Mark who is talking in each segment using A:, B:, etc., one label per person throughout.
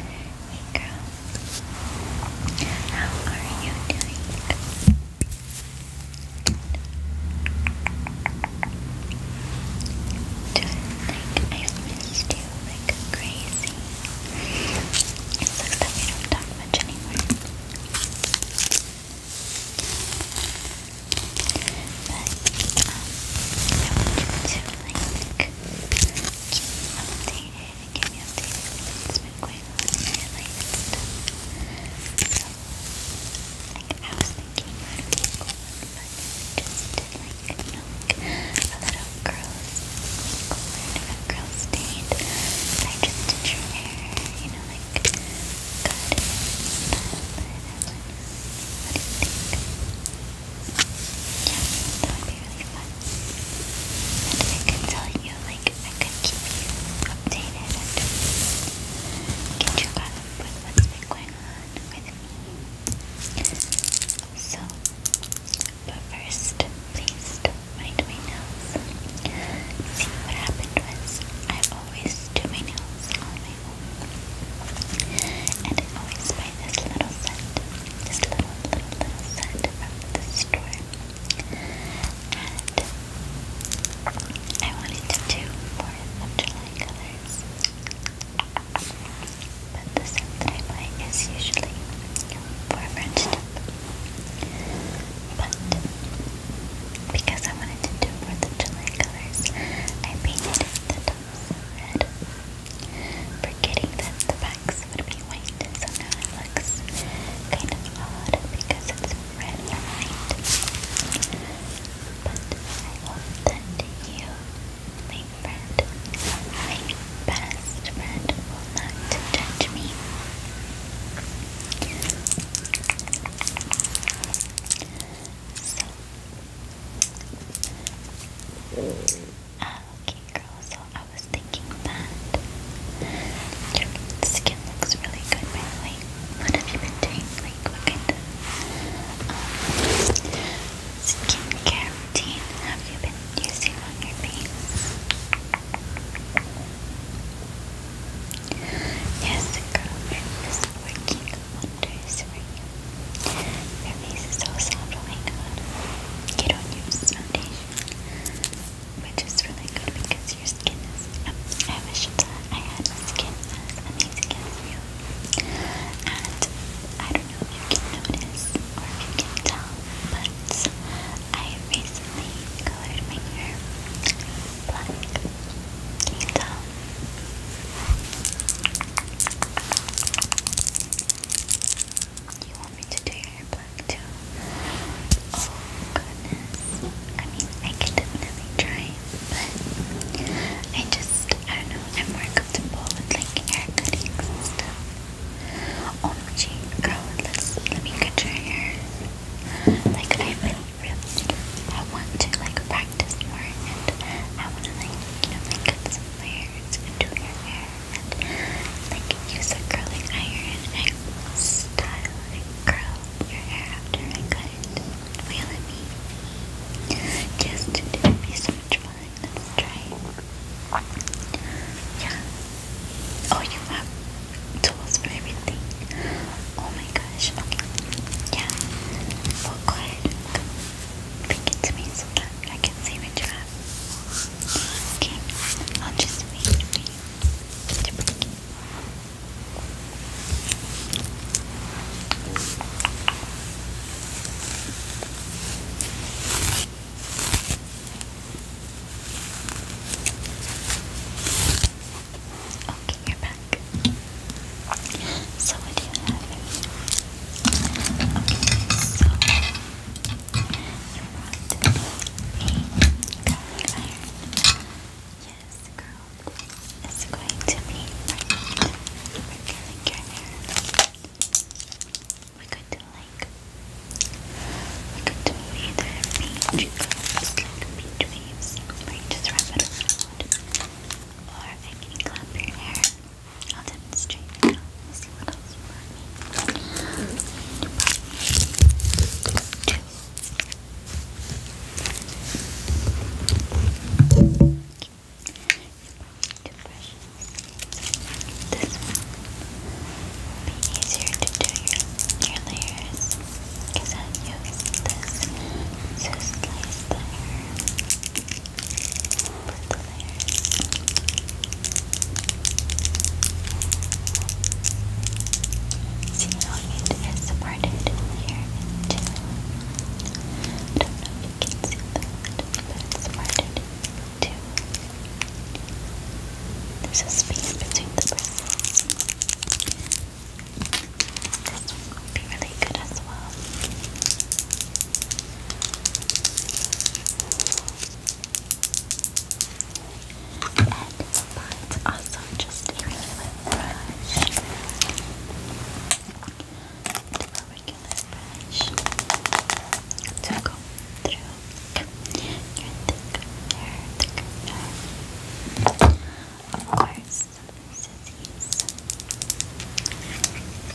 A: Hey girl, how are you doing? like I've you like crazy. It looks like we don't talk much anymore. But I want you to like just updated and get me updated has been going on in like, I was thinking but just like a nook, a little girls' makeover I just did your hair, you know, like, cut it and style it and whatnot. What do you think? that would be really fun. And I could tell you, like, I could keep you updated and you caught what's been going on with me. So, but first, please do my nails. See, what happened was, I always do my nails on my own. And I always buy this little set this little, little, little set from the store. And I wanted to do 4th of July colors. But the set that I buy is usually for French dip. But because I wanted to do 4th of July colors, I painted the top so Forgetting that the backs would be white, so it looks kind of odd because it's red and white. But I hope that you, my friend, my best friend, will not judge me. So, Okay, girl, so I was thinking that. Your skin looks really good, by the way. What have you been doing? Like, what kind of um, skincare routine have you been using on your face? Yes, girl, it is working wonders for you. Your face is so soft, oh my god. You don't use foundation, which is really good because your skin is. I wish that I had skin as amazing as you. And I don't know if you can notice or if you can tell, but I recently colored my hair black. Can you tell? You want me to do your black too? Oh goodness. I mean, I could definitely try, but I just, I don't know, I'm more comfortable with like hair cuttings and stuff. Oh gee, girl, let's, let me cut your hair. Like, i really, I want to like practice more and I want to like, you know, like some layers and your hair and like use a curling iron and style and curl your hair after I cut it. Wheel at me. Just it would be so much fun. Let's try Yeah. Oh, you have tools for everything. Oh my gosh. Okay. Yeah. Well, oh, go ahead. it to me so that I can see what you have. Okay, I'll just wait for you Okay, you're back. So what do you have? Yes, girl. It's going to be perfect for hair. We could do like we could do either beach curls, like beach waves, where you just wrap it around, or I can clap your hair. I'll demonstrate Let's see what else you two. Two brushes. This will be easier to do your, your layers because I use this to slice the See how it is parted here in I don't know if you can see that, but it's parted in There's a space between the bristles. This one would be really good as well. And mine's also just a regular brush. A regular brush to go through your hair, thick hair. Of course, some sissies.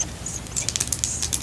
A: Some sissies.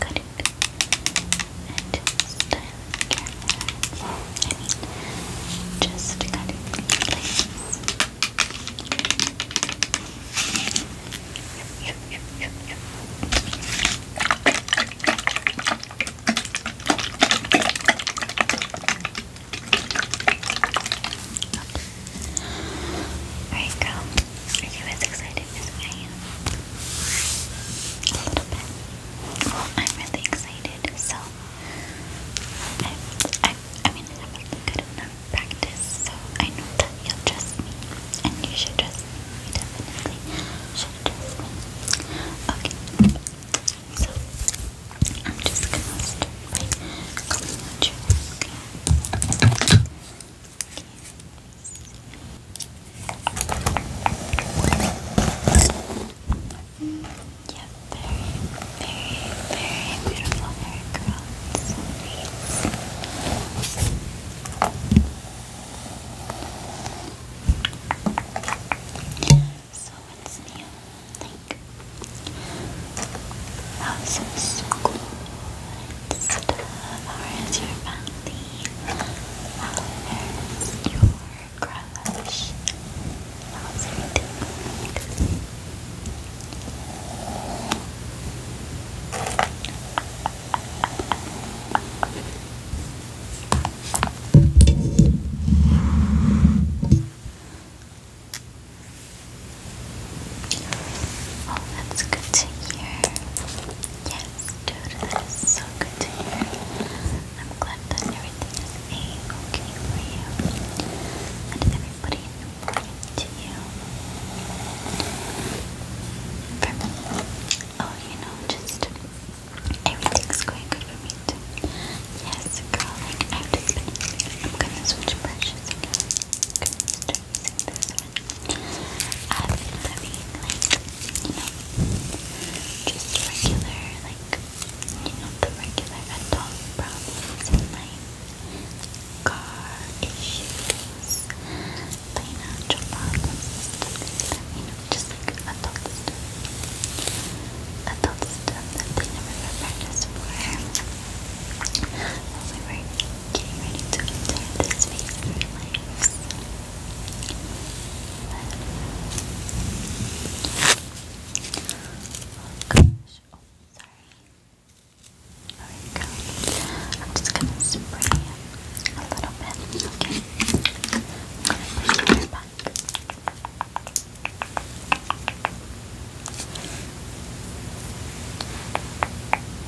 A: cutting and styling your hair. I mean, just cutting places. Okay. Alright, are you as excited as I am? A little bit. Well, I'm really excited, so I, I, I mean, I have a good enough practice, so I know that you'll trust me, and you should trust me. definitely should trust me. Okay, so I'm just gonna start by combing your hair.
B: Mm, yeah, very, very, very beautiful hair curls. So what's new? Like, how's oh, school? How is your family? How is your crush? Oh, that's good to hear. Yes, dude, that is so good to hear. I'm glad that everything is okay for you. And everybody to you. oh, you know, just everything's going good for me too. Yes, girl, I've just been, I'm gonna switch brushes again. I'm I've been having like, you know, just regular, like, you know, the regular adult problems in my car issues, financial problems, you know, just like adult stuff. Adult stuff that they never prepared us for. When we were getting ready to enter this phase of gosh. Oh, There we go. I'm just gonna spray a little bit. Okay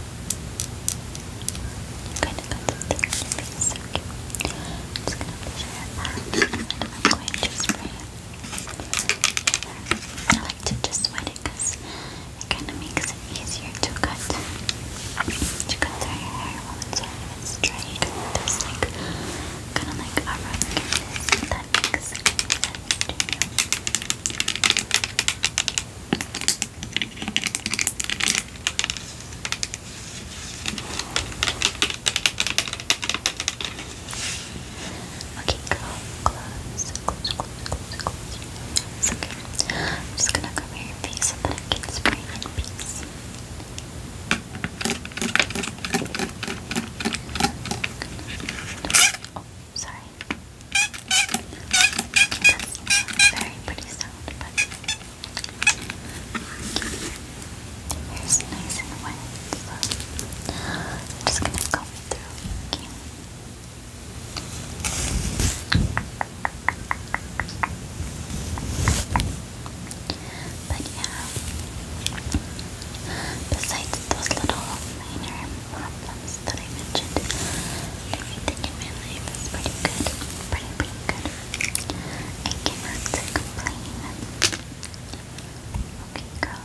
B: going i like to just wet it because it kind of makes it easier to cut. To cut through your hair while it's wet. If it's dry, you like, kind of like a rub against it. That makes sense to you. Okay, go close, close, close, close, close. It's okay. I'm just gonna cover your face so that I can spray in peace. Oh, sorry. very pretty sound, but Here's nice and wet, so I'm just gonna comb through. But yeah, besides those little minor problems that I mentioned, everything in my life is pretty good. Pretty, pretty good. I cannot complain. Okay, girl.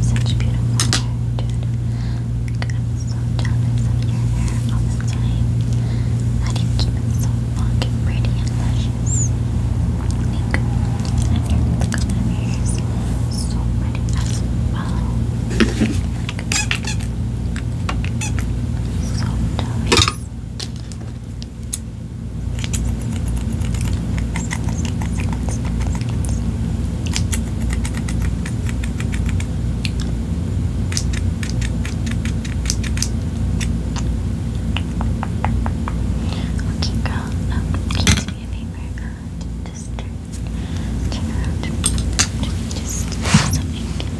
B: Such beautiful hair, dude. so jealous of your hair all the time. How do you keep it so long and pretty and luscious? and your lip is so pretty as well. so jealous. Okay, girl, um, please do me a favor. Uh, just turn, turn around. Just something.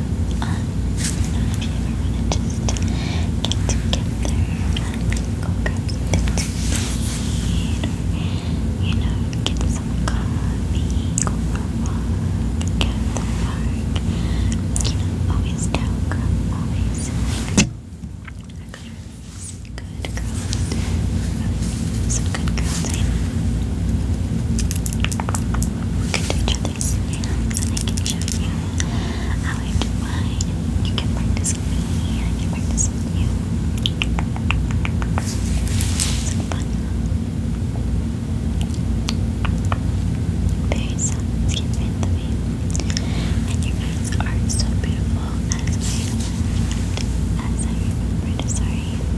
B: um, you know, if to just get together go grab something to eat you know, get some coffee, go for a walk, get in the park, you know, always down always good girls, some good girls, I eh? know. Good to practice I can show you how I do You can practice with me and can practice with you. So fun. Very soft skin in the way. And your eyes are so beautiful as I remembered. As I remembered,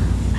B: sorry. I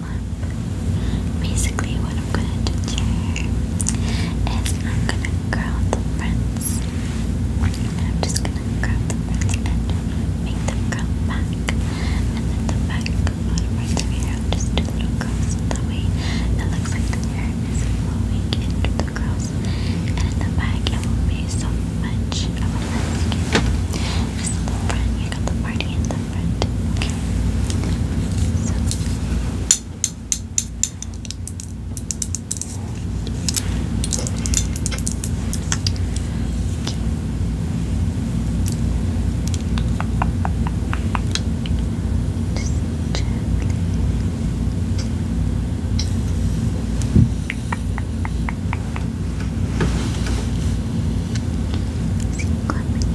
C: them Basically, what I'm gonna do here is I'm gonna curl the fronts. I'm just gonna curl the fronts and make them curl back. And then the back bottom parts of your hair, I'll do little curls. That way, it looks like the hair is flowing into the curls. And in the back, it will be so much of a landscape. This is the front, you got the party in the different. Okay. Just gently. See, clipping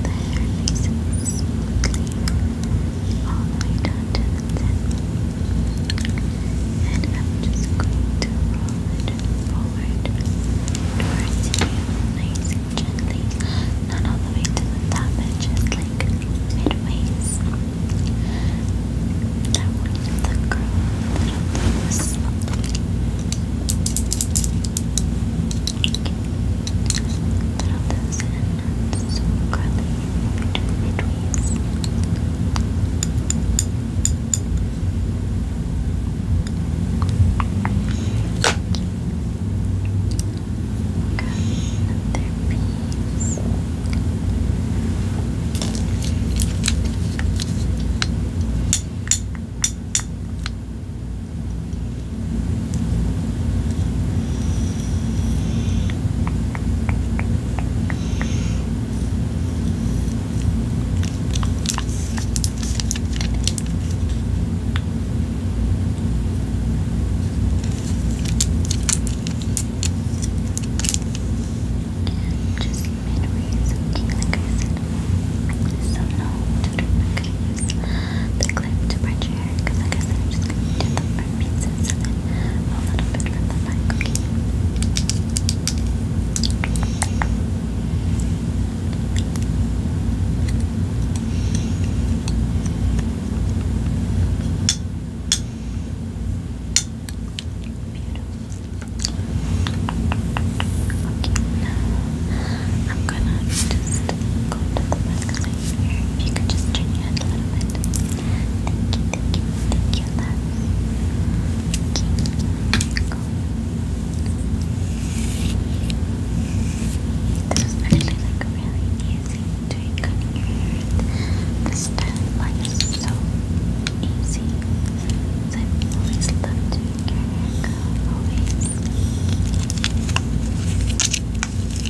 C: the hair nice all the way down to the tip. And I'm just going to roll it forward towards you nice and gently. Not all the way to the top, but just like midways. That way the curl little loose. Throw those in so curly between your tweets. Got another piece. Got and just midway, so like I said, some no tutor mechanism the clip to part your hair because like I said, I'm just going to do the front pieces and then a little bit from the back, okay? I'm gonna just go to the back of my hair. If you could just turn your a little bit. Thank you, thank you, thank you, love. Thank you. This is actually like really easy doing cutting your hair. The styling is so easy. I've always loved doing your hair, Always.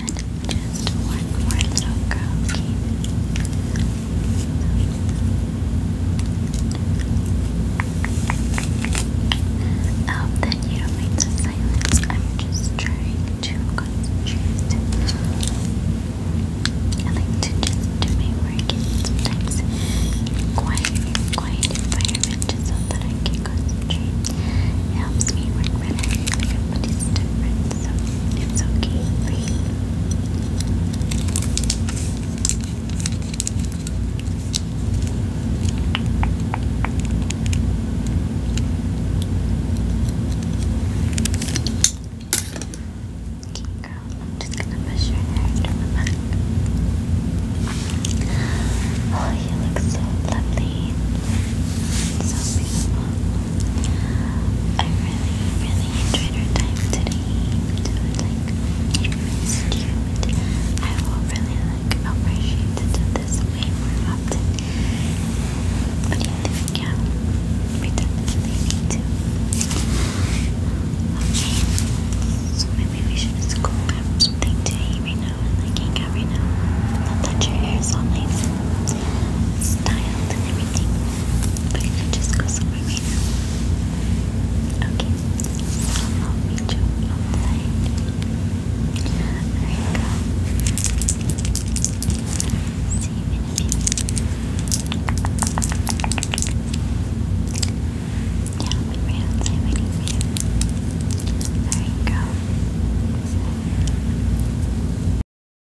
C: add just one more little curl, okay? that you don't mind some silence. I'm just trying to concentrate. I like to just do my work sometimes quiet, quiet environment so that I can concentrate. helps me work better okay girl, I'm just gonna push your hair down the back. Oh, you look so lovely. So beautiful. I really, really enjoyed our time today. So it's like it was cute. I will really like appreciate it this way more often. But yeah, I think yeah, we definitely need to. Okay, so maybe we should just go grab something to eat right now and like hang out right now. Not that your hair is all nice and styled and everything. But if just goes over Okay. I'll meet you outside. There you go. See you in a minute. Yeah, I'll be right outside waiting for you. There you go.